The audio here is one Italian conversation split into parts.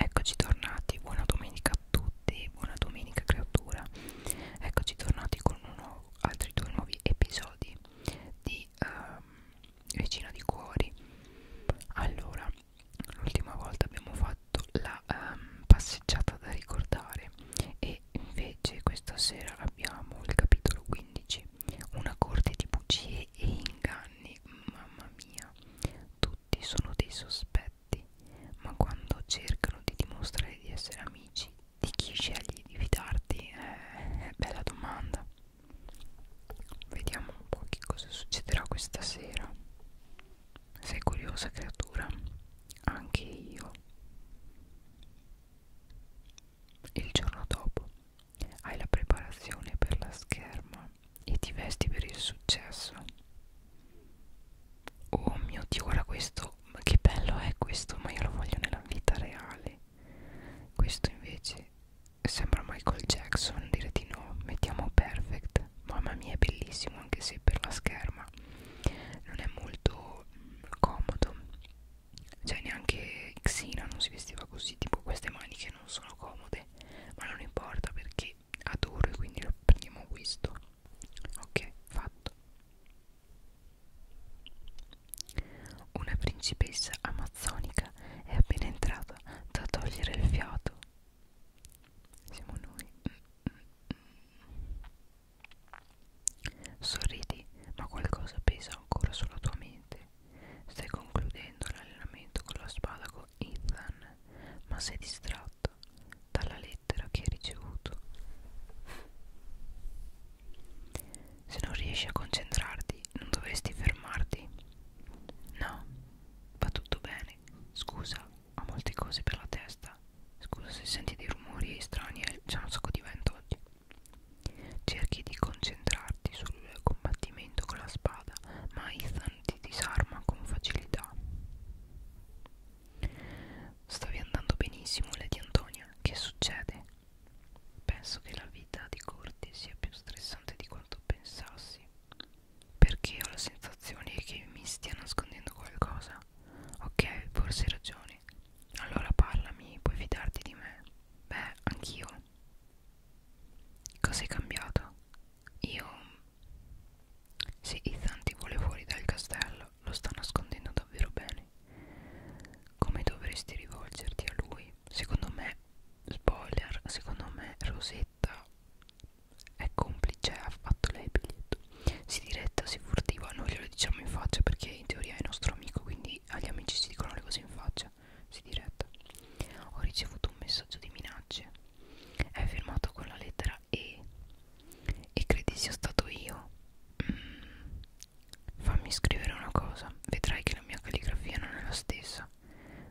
Eccoci tornati, buona domenica a tutti, buona domenica creatura Eccoci tornati con uno, altri due nuovi episodi di um, Vicino di Cuori Allora, l'ultima volta abbiamo fatto la um, passeggiata da ricordare E invece questa sera abbiamo il capitolo 15 una corte di bugie e inganni, mamma mia, tutti sono dei sospetti, ma quando cercano di dimostrare di essere amici, di chi scegli di fidarti? Eh, bella domanda. Vediamo un po' che cosa succederà questa sera. Sei curiosa creatura? Anche io. Il giorno dopo hai la preparazione per la scherma e ti vesti per il successo. Oh mio Dio, guarda questo, ma che bello è questo, ma io lo voglio nella vita reale. Questo invece sembra Michael Jackson, dire di no, mettiamo perfect. Mamma mia, è bellissimo anche se per la scherma non è molto comodo cioè neanche Xina non si vestiva così tipo queste maniche non sono comode ma non importa perché adoro e quindi lo prendiamo questo ok fatto una principessa amazzonica è appena entrata da togliere il fiato siamo noi mm, mm, mm. sorridi ma qualcosa pesa ancora sulla tua mente mente Stai concludendo l'allenamento con lo spadaco Ethan Ma sei distratto dalla lettera che hai ricevuto Se non riesci a concentrarti non dovresti fermarti No, va tutto bene Scusa, ho molte cose per la testa Scusa se senti dei rumori strani C'è un sacco di vento oggi Cerchi di concentrarti sul combattimento con la spada, ma Ethan ti disarma con facilità. Stavi andando benissimo, Lady Antonia. Che succede? Penso che la vita di Corti sia più stressante di quanto pensassi. Perché ho la sensazione che mi stia nascondendo qualcosa. Ok, forse hai ragione. Allora parlami, puoi fidarti di me. Beh, anch'io. Cos'è cambiato? Io... Sì, Ethan ti vuole fuori dal castello, lo sta nascondendo davvero bene. Come dovresti rivolgerti a lui? Secondo me, spoiler, secondo me Rosetta è complice, ha fatto lei il biglietto. Si diretta, si furtiva, noi glielo diciamo in faccia perché in teoria è nostro amico, quindi amici, agli amici si dicono le cose in faccia, si diretta. Ho ricevuto un messaggio di minacce. È firmato con la lettera E. E credi sia stato io? Mm. Fammi scrivere una cosa, vedrai che la mia calligrafia non è la stessa.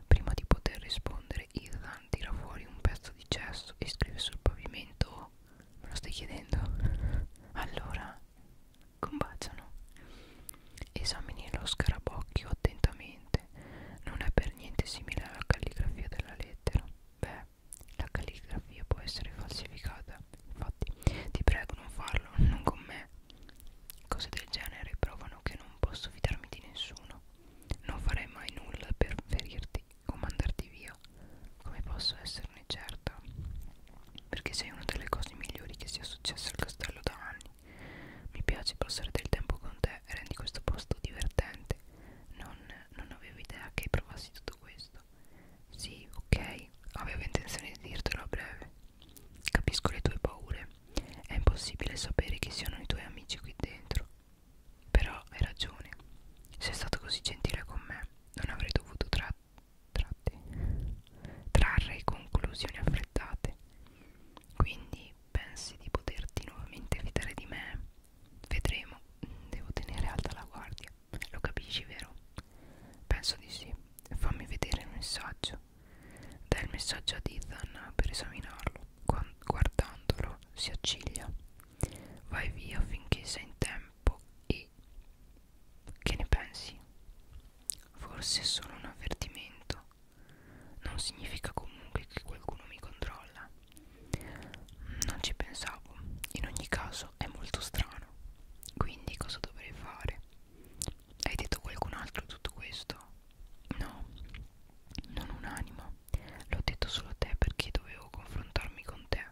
Prima di poter rispondere, Ethan tira fuori un pezzo di cesso e scrive sul pavimento. Me lo stai chiedendo? Allora, combaciano. Esamini lo scarabocchio attentamente. Non è per niente simile alla calligrafia della lettera. Beh, la calligrafia può essere falsificata. Infatti, ti prego non farlo, non con me. Cose del genere provano che non posso fidarmi di nessuno. Non farei mai nulla per ferirti o mandarti via. Come posso esserne certa? Perché sei una delle cose migliori che sia successa al castello da anni. Mi piace passare del tempo con te e rendi questo posto divertente. Non, non avevo idea che provassi tutto questo. Sì, ok, avevo intenzione di dirtelo a breve. Capisco le tue paure. È impossibile sapere chi siano i tuoi amici qui dentro. Però hai ragione. Sei stato così gentile con me. Non avrei dovuto tra tratte, trarre conclusioni affrettate. Quindi pensi di poterti nuovamente fidare di me? Vedremo, devo tenere alta la guardia. Lo capisci, vero? Penso di sì. Fammi vedere il messaggio. Dai il messaggio ad Ethan per esaminarlo. Guardandolo si acciglia. Vai via finché sei in tempo e... Che ne pensi? Forse è solo un avvertimento. Non significa comunque che qualcuno mi controlla. Non ci pensavo. In ogni caso è molto strano. Quindi cosa dovrei fare? Hai detto a qualcun altro tutto questo? No, non un'anima. L'ho detto solo a te perché dovevo confrontarmi con te.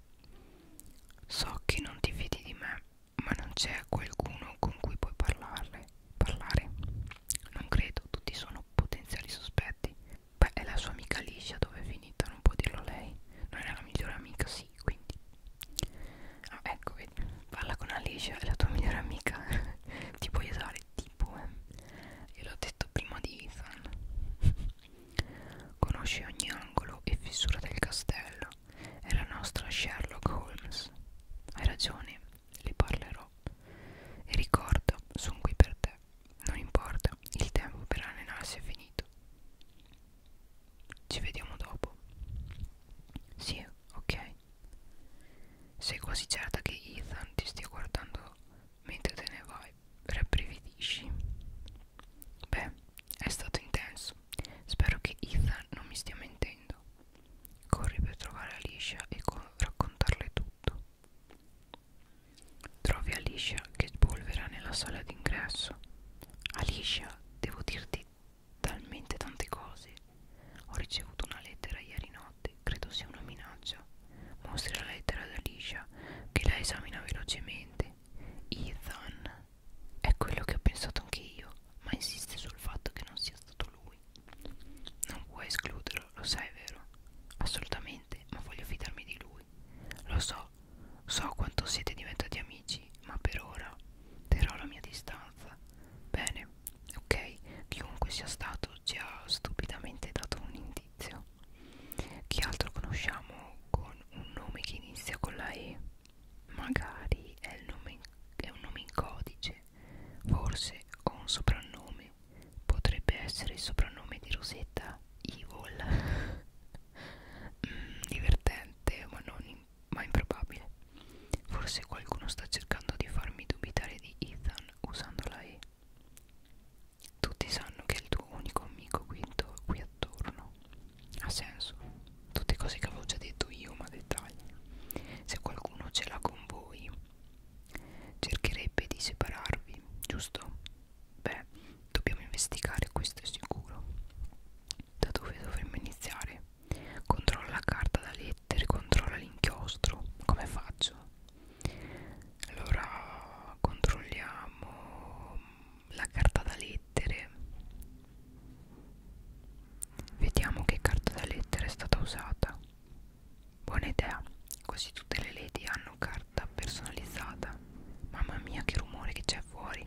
So che non ti fidi di me ma non c'è qualcuno con cui puoi parlarle, parlare? Non credo, tutti sono potenziali sospetti. Beh, è la sua amica liscia dove è finita, non può dirlo lei. Non era la migliore amica, sì, quindi. Ah, ecco, vedi, parla con Alicia, è la tua migliore amica. Ti puoi usare, tipo, eh. Gliel'ho detto prima di Ethan. Conosce ogni angolo e fissura del castello. Laura è la nostra Sherlock Holmes. Hai ragione, le parlerò. E ricorda, sono qui per te. Non importa, il tempo per allenarsi è finito. Ci vediamo dopo. Sì, ok. Sei quasi certa che Ethan ti stia guardando mentre te ne vai. Rabbrividisci. Beh, è stato intenso. Spero che Ethan non mi stia mentendo. Corri per trovare Alicia e raccontarle tutto. Trovi Alicia che spolvera nella sala d'ingresso. Alicia, devo dirti talmente tante cose. Ho ricevuto una lettera ieri notte, credo sia una minaccia. Mostri la lettera ad Alicia che la esamina velocemente. Ethan è quello che ho pensato anche io, ma insiste sul fatto che non sia stato lui. Non puoi escluderlo, lo sai, vero? Assolutamente, ma voglio fidarmi di lui. Lo so, so quanto siete diventati amici, ma per ora terrò la mia distanza. Bene, ok, chiunque sia stato ci ha stupidamente dato un indizio. Chi altro conosciamo con un nome che inizia con la E? Magari è, il nome in, è un nome in codice, forse ho un soprannome. Potrebbe essere il soprannome di Rosetta Evil. mm, divertente, ma non in, ma improbabile. Forse qualcuno sta cercando di farmi dubitare di Ethan usando la E. Tutti sanno che è il tuo unico amico qui, qui attorno. Ha senso tutte cose che avevo già detto io ma dettagli se qualcuno ce l'ha con voi cercherebbe di separarvi giusto? beh dobbiamo investigare questo è sicuro da dove dovremmo iniziare? controlla la carta da lettere controlla l'inchiostro come faccio? allora controlliamo la carta da lettere Vediamo che carta da lettera è stata usata. Buona idea, così tutte le lady hanno carta personalizzata. Mamma mia, che rumore che c'è fuori!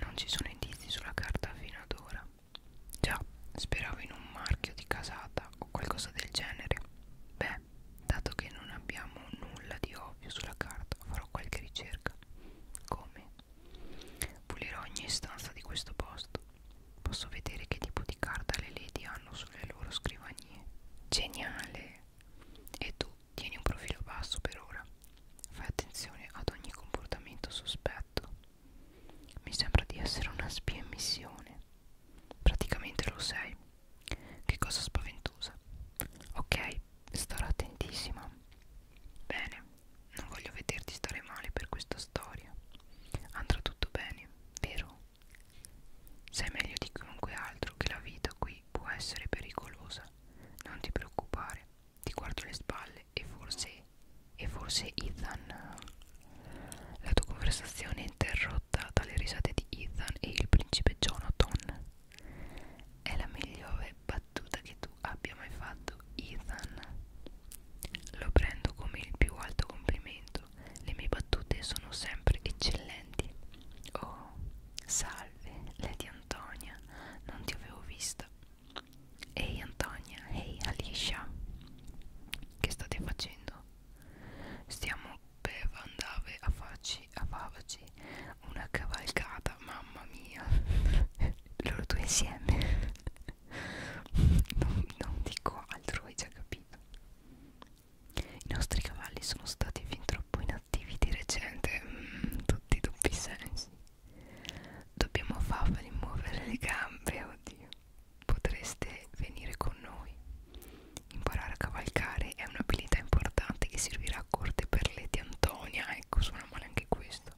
Non ci sono indizi sulla carta fino ad ora. Già, speravo in un marchio di casata o qualcosa del genere. Beh, dato che non abbiamo nulla di ovvio sulla carta, farò qualche ricerca. Come? Pulirò ogni stanza di questo posto. Posso vedere che tipo di carta le lady hanno sulle loro scrivanie. Geniale! E tu tieni un profilo basso per ora. Fai attenzione ad ogni comportamento sospetto. Mi sembra di essere una spia in missione. Praticamente lo sei. Che cosa spaventosa. Ok, starò attentissima. Bene, non voglio vederti stare male per questa storia. Andrà tutto bene, vero? Sei meglio di chiunque altro che la vita qui può essere pericolosa. Non ti preoccupare, ti guardo le spalle e forse... e forse Ethan... La tua conversazione è interrotta dalle risate di Ethan e il principe Jonathan. È la migliore battuta che tu abbia mai fatto, Ethan. Lo prendo come il più alto complimento. Le mie battute sono sempre eccellenti. Oh, salve, Lady Antonia, non ti avevo vista. Ehi Antonia, ehi Alicia, che state facendo? Stiamo per andare a farci, a farci una cavalcata mamma mia loro due insieme non, non dico altro hai già capito i nostri cavalli sono stati fin troppo inattivi di recente mm, tutti i doppi sensi dobbiamo farli muovere le gambe oddio potreste venire con noi imparare a cavalcare è un'abilità importante che servirà a corte per Lady Antonia ecco suona male anche questo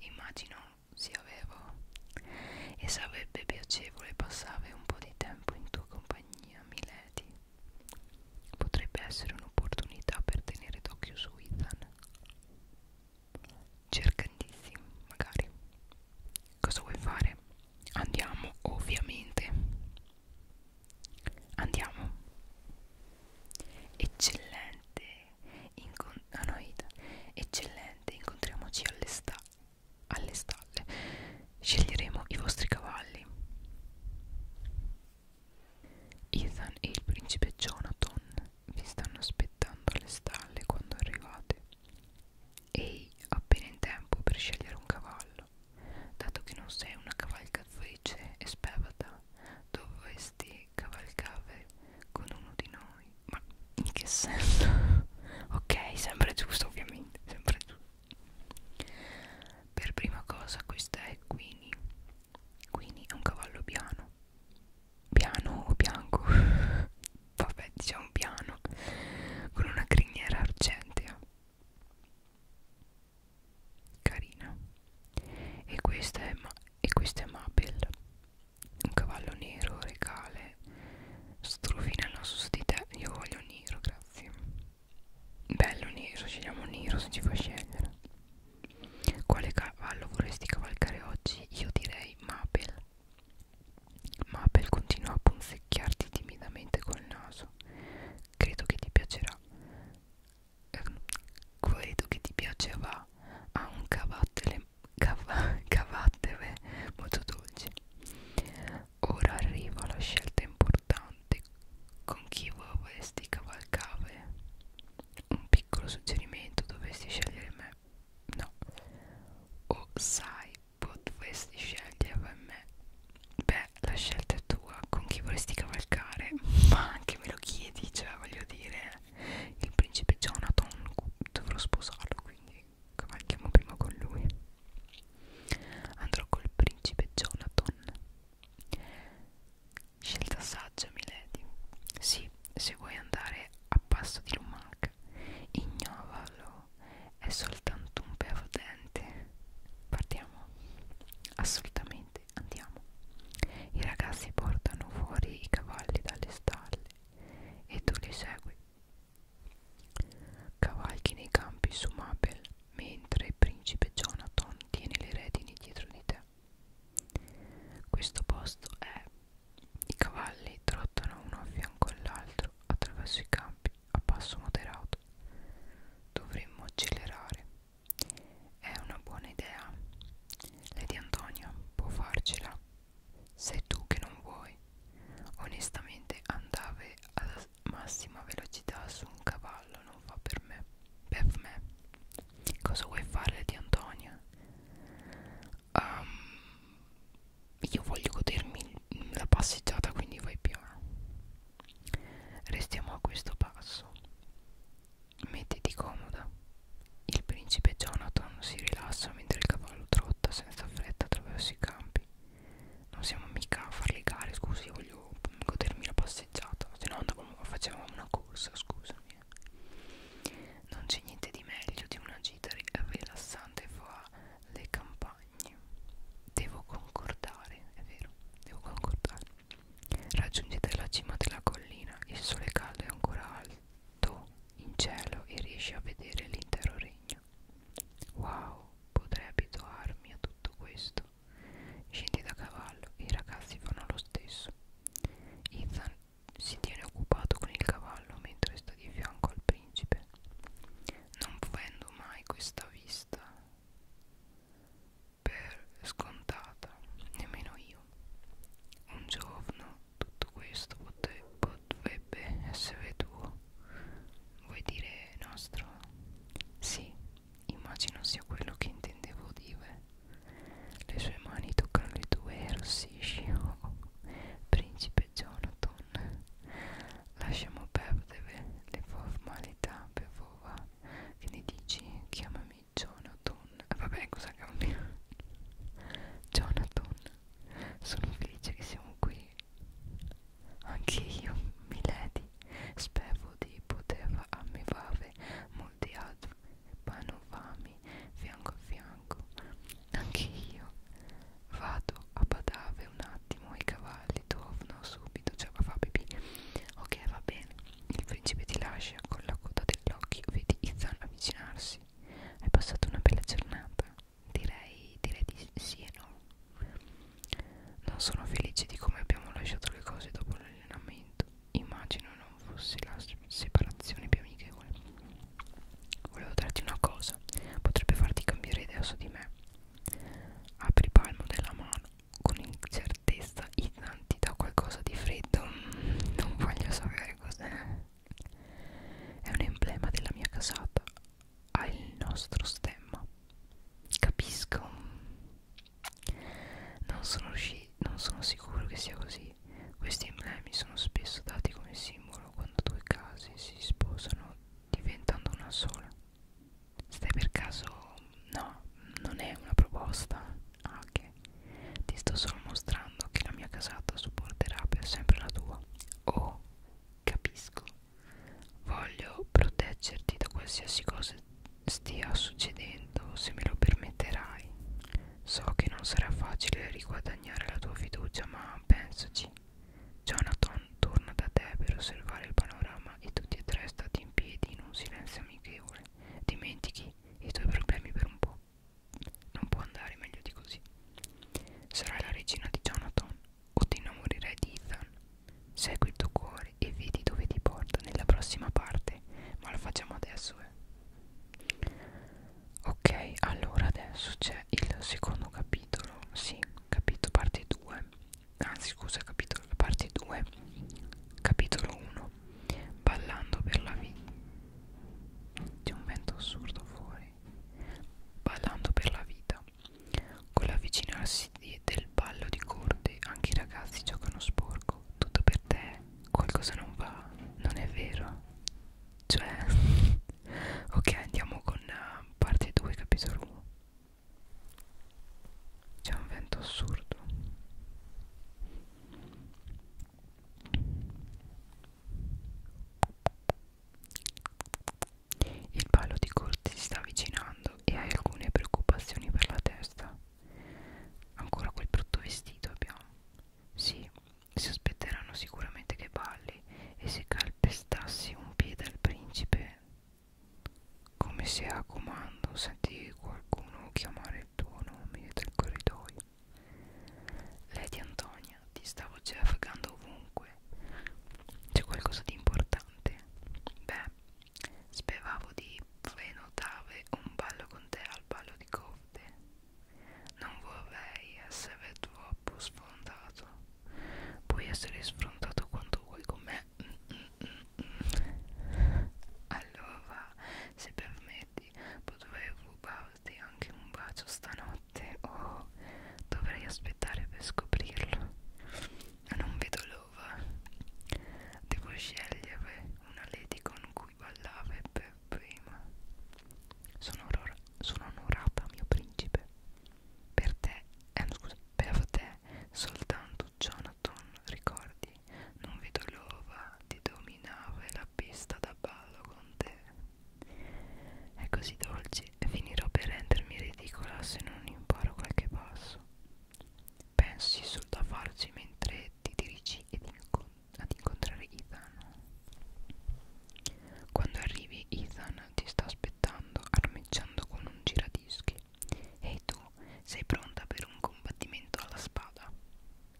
immagino sia vero e sarebbe piacevole passare un po' di tempo in tua compagnia, Milady. Potrebbe essere un'opportunità per tenere d'occhio su Ethan. Cercandissi, magari. Cosa vuoi fare? Andiamo, ovviamente. Andiamo. Eccellente, incont ah, no, no, Eccellente. incontriamoci alle, sta alle stalle. Sceglieremo i vostri cavalli. Ethan e il principe Jonathan vi stanno aspettando alle stalle quando arrivate. Ehi, appena in tempo per scegliere un cavallo. Dato che non sei una cavalcazzoice e spevata, dovresti cavalcare con uno di noi ma in che senso? ok sempre giusto ovviamente sempre giusto per prima cosa questa è Quini Quini è un cavallo piano piano o bianco vabbè diciamo piano con una criniera argentea carina e questa è, Ma e questa è Mabel un cavallo nero regale strofina il naso su di te io voglio nero grazie bello nero scegliamo nero se ci fa scegliere quale cavallo vorresti cavalcare oggi io direi Mabel Mabel continua a punzecchiarti timidamente col naso credo che ti piacerà quello ehm, che ti piaceva ha un cavattere, cav cavattere molto dolce ora arriva la scelta importante con chi vorresti cavalcare un piccolo suggerimento dovresti scegliere me no o sai potresti scegliere me beh la scelta è tua con chi vorresti cavalcare ma anche me lo chiedi cioè voglio dire il principe Jonathan dovrò sposarlo quindi cavalchiamo prima con lui andrò col principe Jonathan scelta saggia milady sì se vuoi andare a passo di lumaca ignovalo è soltanto un pevo dente partiamo assolutamente niente, andiamo. I ragazzi portano fuori i cavalli dalle stalle e tu li segui. Cavalchi nei campi su Mabel mentre il principe Jonathan tiene le redini dietro di te. Questo posto è... I cavalli trottano uno a fianco all'altro attraverso i campi a passo moderato. Dovremmo accelerare è una buona idea. Lady Antonia può farcela. Sei tu che non vuoi. Onestamente andare alla massima velocità su un cavallo non fa per me. Per me. Cosa vuoi fare Lady Antonia? Um, ehm, io voglio godermi la passeggiata quindi vai piano. Restiamo a questo passo. Mettiti comoda. Il principe Jonathan si rilassa mentre il cavallo trotta senza fretta attraverso i campi. Non siamo mica a far gare, scusi, io voglio godermi la passeggiata. Se no andavamo, facevamo una corsa, scusami. Eh. Non c'è niente di meglio di una gita rilassante fra le campagne. Devo concordare, è vero, devo concordare. Raggiungete la cima della collina, il sole caldo è ancora alto in cielo e riesci a vedere l'intero regno. Wow, potrei abituarmi a tutto questo. Scendi da cavallo e i ragazzi fanno lo stesso. Ethan si tiene occupato con il cavallo mentre sta di fianco al principe. Non vendo mai questa vista per scontata, nemmeno io. Un giorno tutto questo pote, potrebbe essere tuo. Vuoi dire nostro? Sì, immagino sia quello che intendevo dire. Le sue mani toccano le tue e rossisci. Oh, oh, principe Jonathan, lasciamo perdere le formalità per favore. Che ne dici? Chiamami Jonathan eh, vabbè cosa cambia Jonathan sono felice che siamo qui anche io milady spero di poter ammirare molti altri panorami fianco a fianco anche io vado a badare un attimo i cavalli torno subito cioè va pipì ok va bene il principe ti lascia con la coda dell'occhio, vedi Ethan avvicinarsi. Hai passato una bella giornata? Direi, direi di sì e no. Non sono felice di come abbiamo lasciato le cose dopo l'allenamento. Immagino non fosse la separazione più amichevole. Volevo darti una cosa, potrebbe farti cambiare idea su di me. Apri palmo della mano con certezza Ethan ti dà qualcosa di freddo Non voglio sapere cos'è È un emblema della mia casata Ha il nostro stemma Capisco Non sono, non sono sicuro che sia così Questi emblemi sono spesso dati come simbolo Quando due casi si sposano diventando una sola Stai per caso... no, non è una proposta. Ah, ok. Ti sto solo mostrando che la mia casata supporterà per sempre la tua. Oh, capisco. Voglio proteggerti da qualsiasi cosa stia succedendo, se me lo permetterai. So che non sarà facile riguadagnare la tua fiducia, ma pensaci. Jonathan torna da te per osservare il panorama e tutti e tre stati in piedi in un silenzio amichevole. Dimentichi i tuoi problemi per un po'. Non può andare meglio di così. Sarai la regina di Jonathan o ti innamorerai di Ethan. Segui il tuo cuore e vedi dove ti porta nella prossima parte. Ma lo facciamo adesso, eh. Ok, allora adesso c'è il secondo capitolo. Sì, capitolo parte 2 anzi scusa capitolo parte 2 capitolo 1 ballando per la vita c'è un vento assurdo fuori ballando per la vita con l'avvicinarsi del ballo di corde anche i ragazzi giocano sporco tutto per te qualcosa non va non è vero cioè ok andiamo con uh, parte 2 capitolo 1 c'è un vento assurdo. Il palo di corte si sta avvicinando e hai alcune preoccupazioni per la testa. Ancora quel brutto vestito abbiamo. Sì, si aspetteranno sicuramente che balli e se calpestassi un piede al principe come se a comando sentì qualcuno chiamare il tuo nome dal corridoio Lady Antonia ti stavo giafagando ovunque c'è qualcosa di importante beh speravo di prenotare un ballo con te al ballo di corte non vorrei essere troppo sfrontato puoi essere sfrontato quanto vuoi con me allora se permetti potrei rubarti anche un bacio stanotte o dovrei aspettare per scoprirlo non vedo l'ora devo scegliere una lady con cui ballare per prima sono, sono onorata mio principe per te, eh, scusa, per te soltanto Jonathan ricordi non vedo l'ova di dominare la pista da ballo con te è così dolce finirò per rendermi ridicola se non imparo qualche passo pensi solo da farci mentre ti dirigi ed incont ad incontrare Ethan quando arrivi Ethan ti sta aspettando armeggiando con un giradischi Ehi tu, sei pronta per un combattimento alla spada?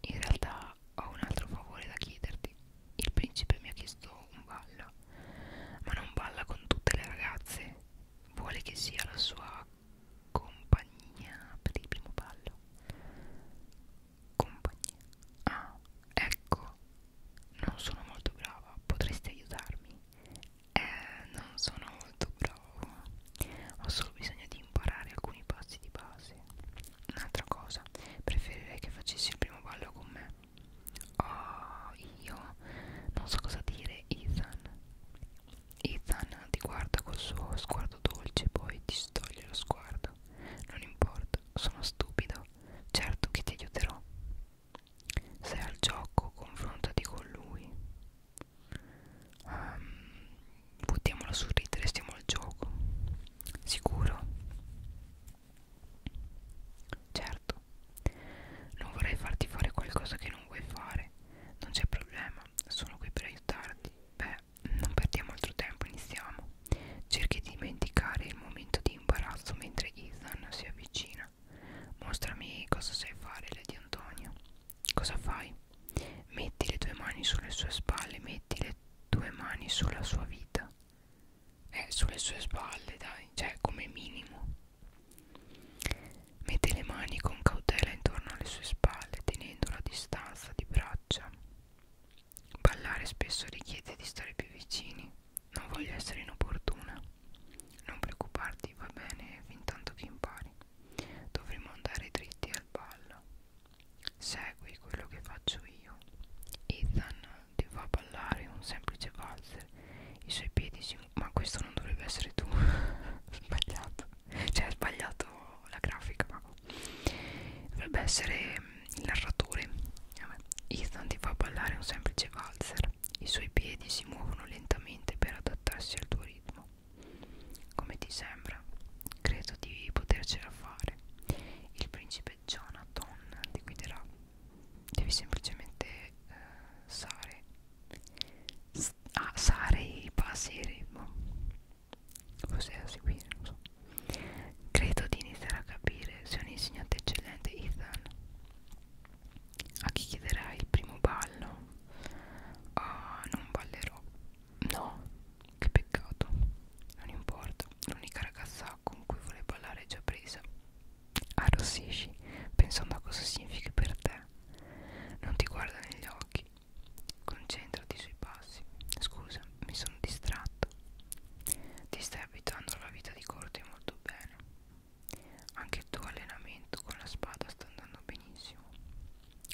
In realtà ho un altro favore da chiederti. Il principe mi ha chiesto un ballo, ma non balla con tutte le ragazze. Vuole che sia la sua compagnia per il primo ballo. Compagnia. Ah, ecco. Non sono molto brava, potresti aiutarmi? eh, non sono molto bravo ho solo bisogno di imparare alcuni passi di base un'altra cosa preferirei che facessi il primo ballo con me oh io non so cosa dire Ethan Ethan ti guarda col suo sguardo dolce poi ti stoglie lo sguardo non importa sono stupido certo che ti aiuterò sei al gioco confrontati con lui um, buttiamola sul ridere stiamo al gioco sicuro certo non vorrei farti fare qualcosa che non vuoi fare non c'è problema sono qui per aiutarti beh non perdiamo altro tempo iniziamo cerchi di dimenticare il momento di imbarazzo mentre Ethan si avvicina mostrami cosa sai fare Lady Antonia cosa fai Metti le tue mani sulle sue spalle, metti le tue mani sulla sua vita. Eh, sulle sue spalle, dai, cioè come minimo. Mette le mani con cautela intorno alle sue spalle, tenendo la distanza di braccia. Ballare spesso richiede di stare più vicini. Non voglio essere inopportuna. Non preoccuparti, va bene, fin tanto che impari. Dovremmo andare dritti al ballo. Segui quello che faccio io. Ethan ti fa ballare un semplice valzer. I suoi piedi si. Ma questo non dovrebbe essere tu. sbagliato. Cioè, hai sbagliato la grafica. Ma... Dovrebbe essere mm, il narratore. Ethan ti fa ballare un semplice valzer. I suoi piedi si muovono lentamente per adattarsi al tuo ritmo. Come ti sembra? Credo di potercela fare. Il principe Jonathan ti guiderà. Devi semplicemente eh, sare. S ah, sare i passi e ritmo. Cos'è da seguire? Non so. Credo di iniziare a capire. Sei un insegnante eccellente, Ethan a chi chiederai il primo ballo? Ah, non ballerò. No, che peccato. Non importa, l'unica ragazza con cui vuole ballare è già presa. Arrossisci, pensando a cosa significhi per te. Non ti guarda negli occhi. Concentrati sui passi. Scusa, mi sono distratto. Ti stai abituando alla vita di corte molto bene. Anche il tuo allenamento con la spada sta andando benissimo.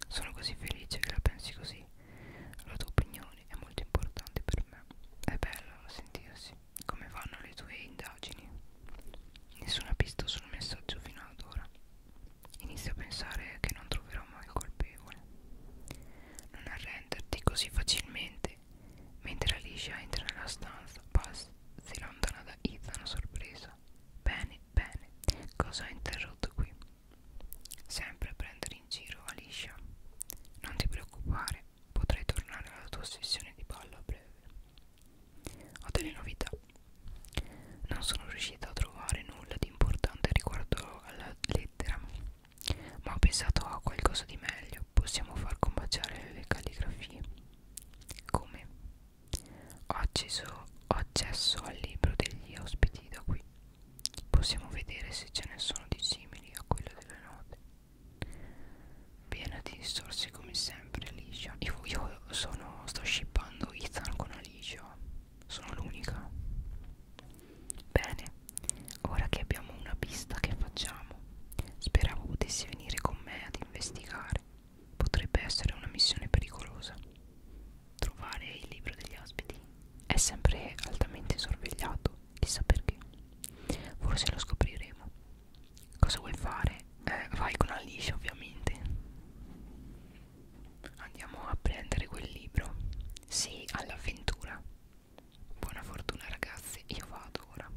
Sono così felice che la pensi così. La tua opinione è molto importante per me. È bello sentirsi. Come vanno le tue indagini? Nessuna pista sul messaggio fino ad ora. Inizio a pensare che non troverò mai il colpevole. Non arrenderti così facilmente. Mentre Alicia entra nella stanza, Paz si allontana da Ethan sorpresa cosa bene bene cosa ho interrotto qui sempre prendere in giro Alicia non ti preoccupare potrai tornare alla tua sessione di ballo a breve ho delle novità non sono riuscita a trovare nulla di importante riguardo alla lettera ma ho pensato a qualcosa di meglio possiamo far combaciare le calligrafie come Oggi so, ho accesso al libro degli ospiti da qui. Possiamo vedere se ce ne sono di simili a quello delle note. Piena di distorsi come sempre Alicia. Io, io sono, sto shippando Ethan con Alicia. Sono l'unica. Bene, ora che abbiamo una pista che facciamo? Speravo potessi venire con me ad investigare. Potrebbe essere una missione pericolosa. Trovare il libro degli ospiti è sempre altamente sorvegliato, chissà perché. Forse lo scopriremo. Cosa vuoi fare? Eh, vai con Alice, ovviamente. Andiamo a prendere quel libro. Sì, all'avventura. Buona fortuna, ragazzi. Io vado ora.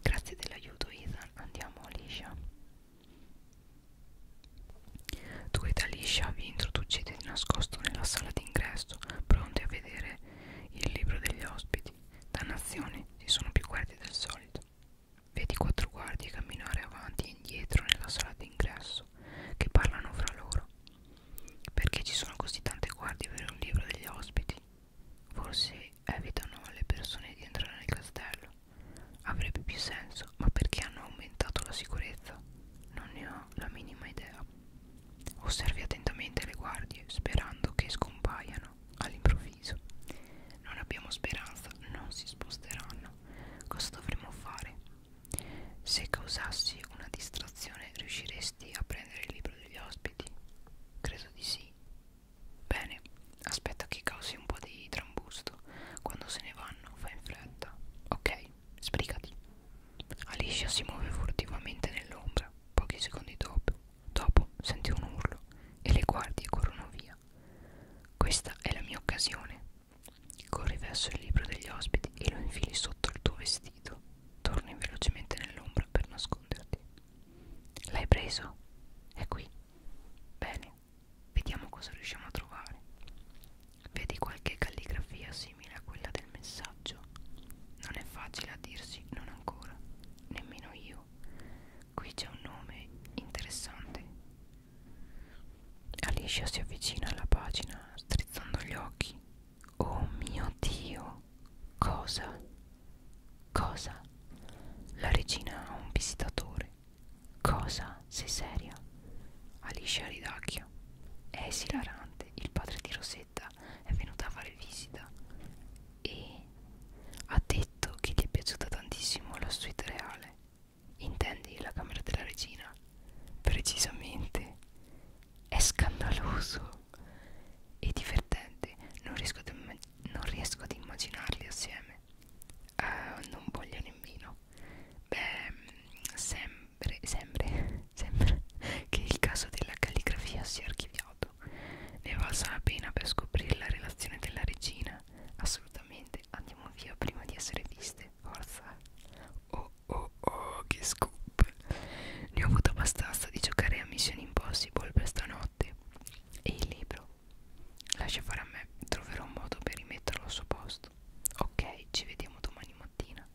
Grazie dell'aiuto, Ethan. Andiamo, Alicia. Dueta liscia vi introducete di nascosto nella sala d'ingresso, pronti a vedere il libro degli ospiti. Dannazione, ci sono più guardie del solito. Vedi quattro guardie camminare avanti e indietro nella sala d'ingresso, che parlano fra loro. Perché ci sono così tante guardie per un libro degli ospiti? Forse evitano alle persone di entrare nel castello. Avrebbe più senso, ma perché hanno aumentato la sicurezza? Non ne ho la minima idea. Osservi attentamente le guardie, sperando che scompaiano all'improvviso. Non abbiamo speranza, non si sposteranno. Cosa dovremmo fare? Se causassi una distrazione, riusciresti a prendere il libro degli ospiti? Credo di sì, Bene, aspetta che causi un po' di trambusto. Quando se ne vanno, fai in fretta. Ok, sbrigati. Alicia si muove furtivamente nell'ombra. Pochi secondi dopo, dopo senti un urlo e le guardie corrono via. Questa è la mia occasione. Corri verso il libro degli ospiti e lo infili sotto il tuo vestito. Torni velocemente nell'ombra per nasconderti. L'hai preso? È qui. Bene, Vediamo cosa riusciamo a trovare. Vedi qualche calligrafia simile a quella del messaggio? Non è facile a dirsi, non ancora, nemmeno io. Qui c'è un nome interessante. Alicia si avvicina alla pagina, strizzando gli occhi. Oh mio Dio! Cosa? Cosa? La regina ha un visitatore due. Cosa? Sei seria? Alice a ridacchio. È esilarante. Il padre di Rosetta è venuto a fare visita e ha detto che gli è piaciuta tantissimo la suite reale. Intendi la camera della regina? Precisamente. È scandaloso e divertente. Non riesco, non riesco ad immaginarli assieme uh, non vogliono in vino beh sempre sempre sempre che il caso della calligrafia sia archiviato ne valsa la pena per scoprire la relazione della regina assolutamente andiamo via prima di essere viste forza oh oh oh che scoop ne ho avuto abbastanza di giocare a Mission Impossible per stanotte e il libro Lascia fare a me, troverò un modo per rimetterlo al suo posto. Ok, ci vediamo domani mattina.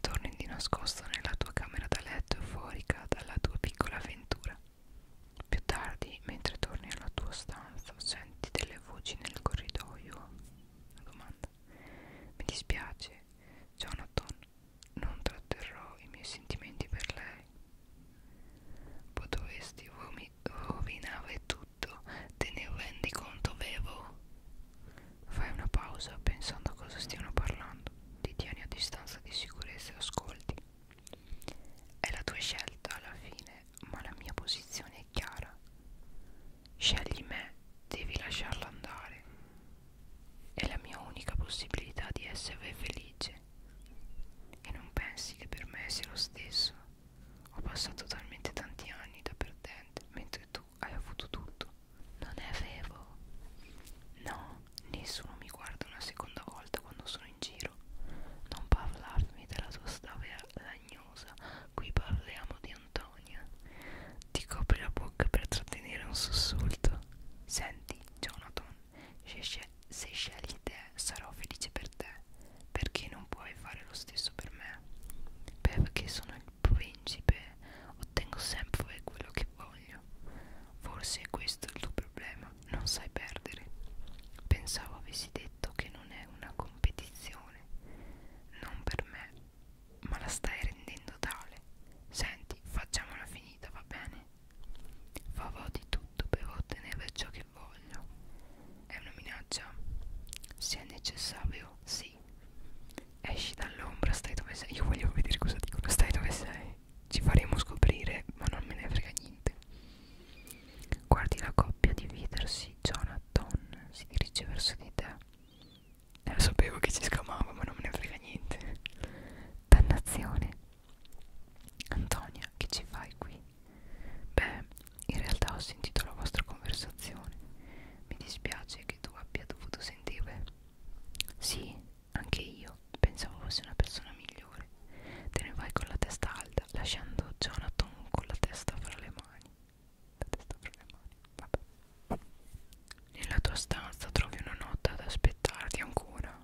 Torni di nascosto nella tua camera da letto euforica dalla tua piccola avventura. Più tardi, mentre torni alla tua stanza, senti delle voci nel corridoio. Una domanda. Mi dispiace, Jonathan, non tratterrò i miei sentimenti per lei. Potresti rovinare tutto, te ne rendi conto, vero? Fai una pausa pensando a cosa stiano parlando, ti tieni a distanza di sicurezza e ascolti. È la tua scelta alla fine, ma la mia posizione è chiara. Scegli me, devi lasciarla andare. È la mia unica possibilità di essere felice. E non pensi che per me sia lo stesso? Ho passato talmente tanti anni da perdente, mentre tu hai avuto tutto. Non ne avevo. No, nessuno mi guarda una seconda volta quando sono in giro. Non parlarmi della tua storia lagnosa. Qui parliamo di Antonia. Ti copri la bocca per trattenere un sussulto. Senti, Jonathan, Sheshe se scegli te sarò felice per te perché non puoi fare lo stesso per me perché sono il principe ottengo sempre quello che voglio forse questo è il tuo problema non sai perdere pensavo avessi detto che non è una competizione non per me ma la stai rendendo tale senti facciamola finita va bene Farò di tutto per ottenere ciò che voglio. È una minaccia? Se è necessario, sì. Esci dall'ombra, stai dove sei. Io voglio vedere cosa dicono. Stai dove sei. Ci faremo scoprire, ma non me ne frega niente. Guardi la coppia dividersi. Jonathan si dirige verso di te. Eh, sapevo che ci scamava, ma non me ne frega niente. Dannazione. Antonia, che ci fai qui? Beh, in realtà ho sentito la vostra conversazione. Mi dispiace che tu abbia dovuto sentirle. Sì, anche io. Pensavo fosse una persona migliore. Te ne vai con la testa alta, lasciando Jonathan con la testa fra le mani. La testa fra le mani, vabbè. Nella tua stanza trovi una nota ad aspettarti ancora.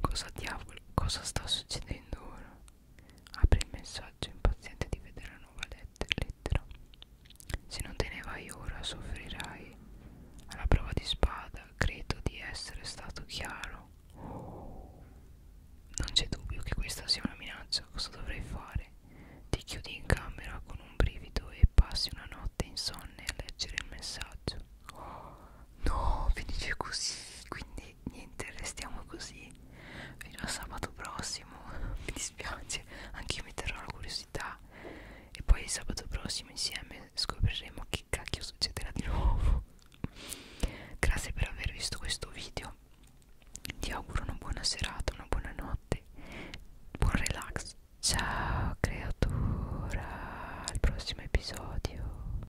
Cosa diavolo? Cosa sta succedendo ora? Apri il messaggio impaziente di vedere la nuova lettera. Se non te ne vai ora soffrirai. Alla prova di spada credo di essere stato chiaro. Non c'è dubbio che questa sia una minaccia. Cosa dovrei fare? Ti chiudi in camera con un brivido e passi una notte insonne a leggere il messaggio. No, finisce così. Quindi quindi niente restiamo così fino a sabato prossimo mi dispiace anche io mi terrò la curiosità e poi sabato prossimo insieme scopriremo che cacchio succederà di nuovo grazie per aver visto questo video ti auguro una buona serata una buona notte buon relax ciao creatura al prossimo episodio